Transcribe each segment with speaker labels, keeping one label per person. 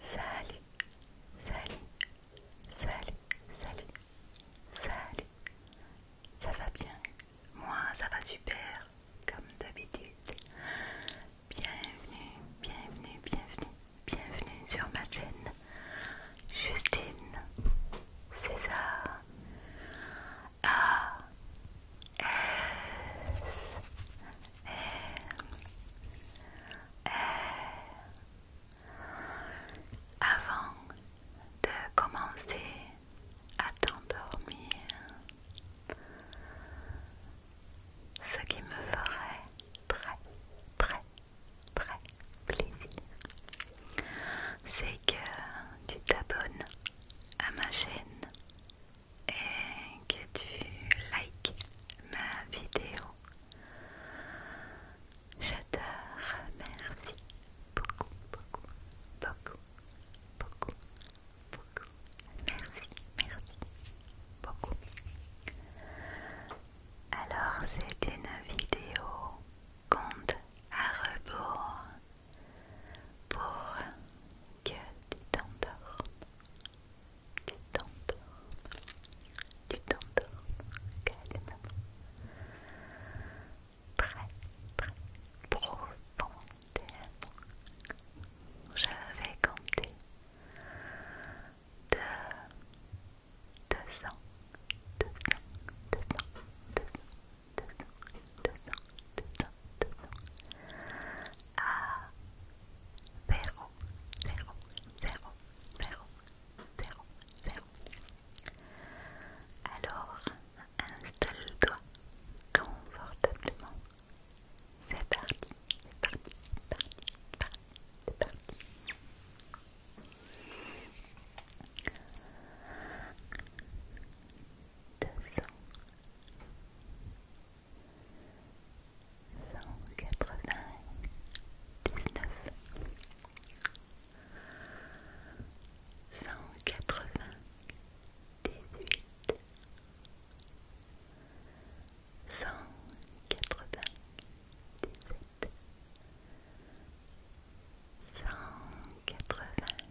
Speaker 1: Salut, salut, salut, salut, salut. Ça va bien Moi, ça va super, comme d'habitude. Bienvenue, bienvenue, bienvenue, bienvenue sur ma chaîne. Justine César. A Avant de commencer à t'endormir, ce qui me ferait très très très plaisir c'est que tu t'abonnes à ma chaîne et que tu likes ma vidéo. j'adore, merci beaucoup, beaucoup, beaucoup, beaucoup, beaucoup. Merci, merci, beaucoup. Alors c'est une vidéo compte à rebours pour que tu t'endormes, tu t'endormes, tu t'endormes très très profondément. Je vais de alors, installe-toi confortablement. C'est parti, c'est parti, parti, parti, parti deux cents cent quatre-vingt-dix-neuf cent quatre-vingt-dix-huit cent quatre vingt dix cent
Speaker 2: quatre vingt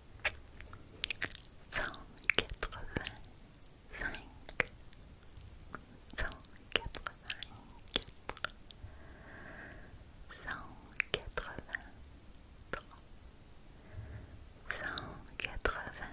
Speaker 2: cent quatre-vingt-cinq, cent quatre-vingt-quatre, cent quatre-vingt-trois, cent quatre-vingt-deux, cent quatre-vingt-un.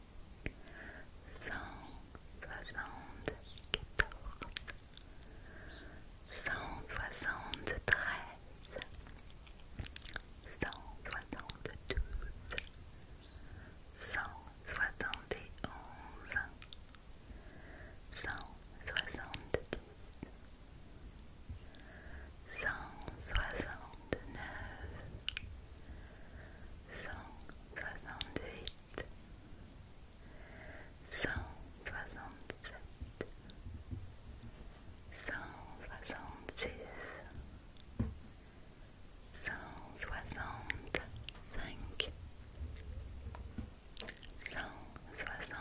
Speaker 2: cent soixante quatorze cent soixante treize cent soixante cent soixante cent soixante neuf
Speaker 3: soixante-huit, cent soixante-sept, cent soixante-six, cent soixante-cinq, cent soixante-quatre, cent soixante-trois.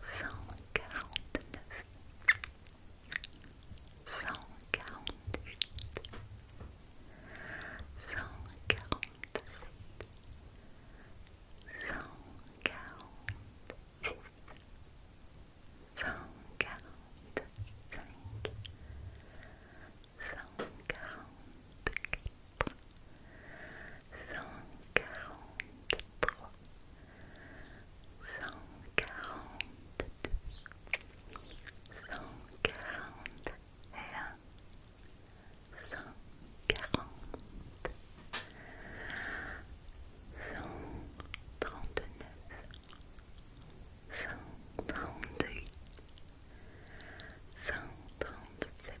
Speaker 3: cent quarante-neuf, cent quarante-huit,
Speaker 4: cent quarante-trois, cent quarante-deux, cent quarante et trente-neuf, cent trente cent trente-sept,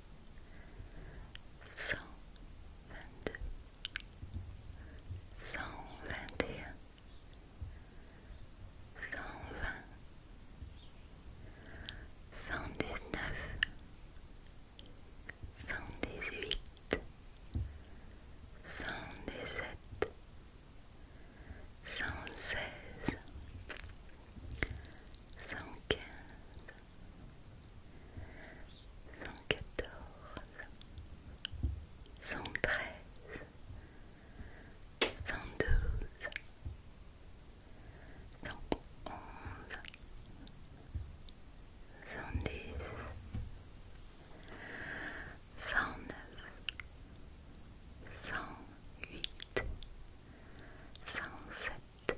Speaker 4: cent vingt-deux, cent vingt et un, cent vingt,
Speaker 5: cent dix-neuf, cent dix-huit, cent dix-sept, cent seize, cent quinze cent quatorze, cent treize, cent douze, cent onze, cent dix, cent neuf, cent huit, cent sept.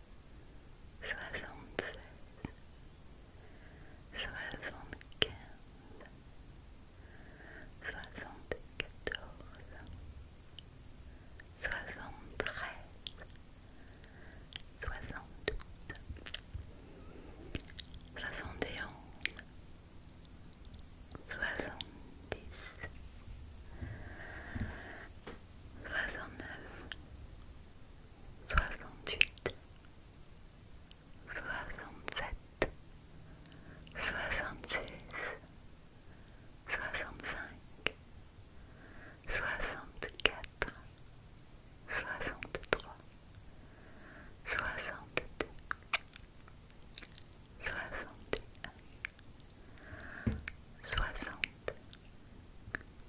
Speaker 6: soixante seize soixante-quinze, soixante-quatorze, soixante soixante et dix soixante-neuf, soixante-huit, soixante-sept, soixante-six, soixante-cinq, soixante-quatre, soixante-trois, soixante-deux, un soixante.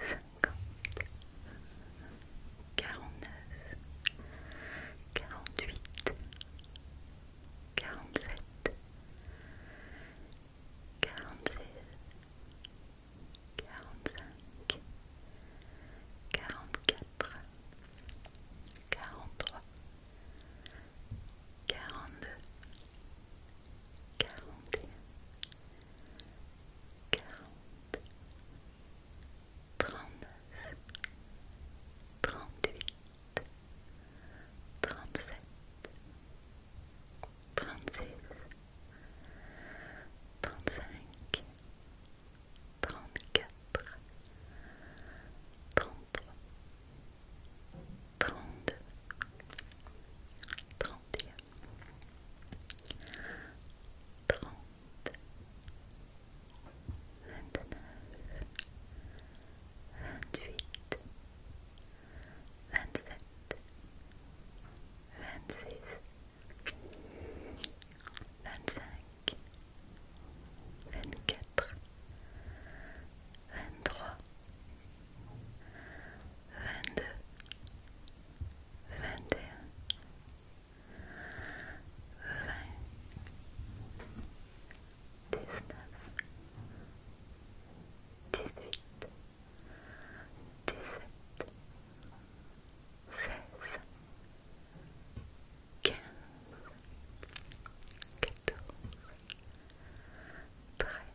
Speaker 6: cinquante, quarante-neuf, quarante-huit, quarante-sept, quarante quarante-cinq, quatre quarante-trois, quarante-deux, quarante et un, quarante, trente trente trente-huit, trente-sept, trente-six, trente-quatre, trente, vingt-neuf, vingt-huit, vingt-sept, vingt-six, vingt-cinq, vingt-quatre, vingt-trois, vingt-deux, vingt et dix-neuf, dix-huit, dix quinze, quatorze, treize,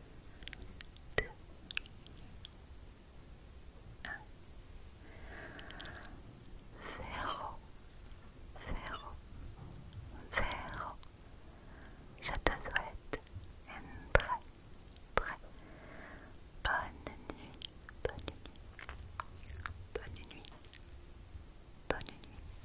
Speaker 6: 2, zéro zéro, Je te souhaite une très, très bonne nuit, bonne nuit, bonne nuit, bonne nuit.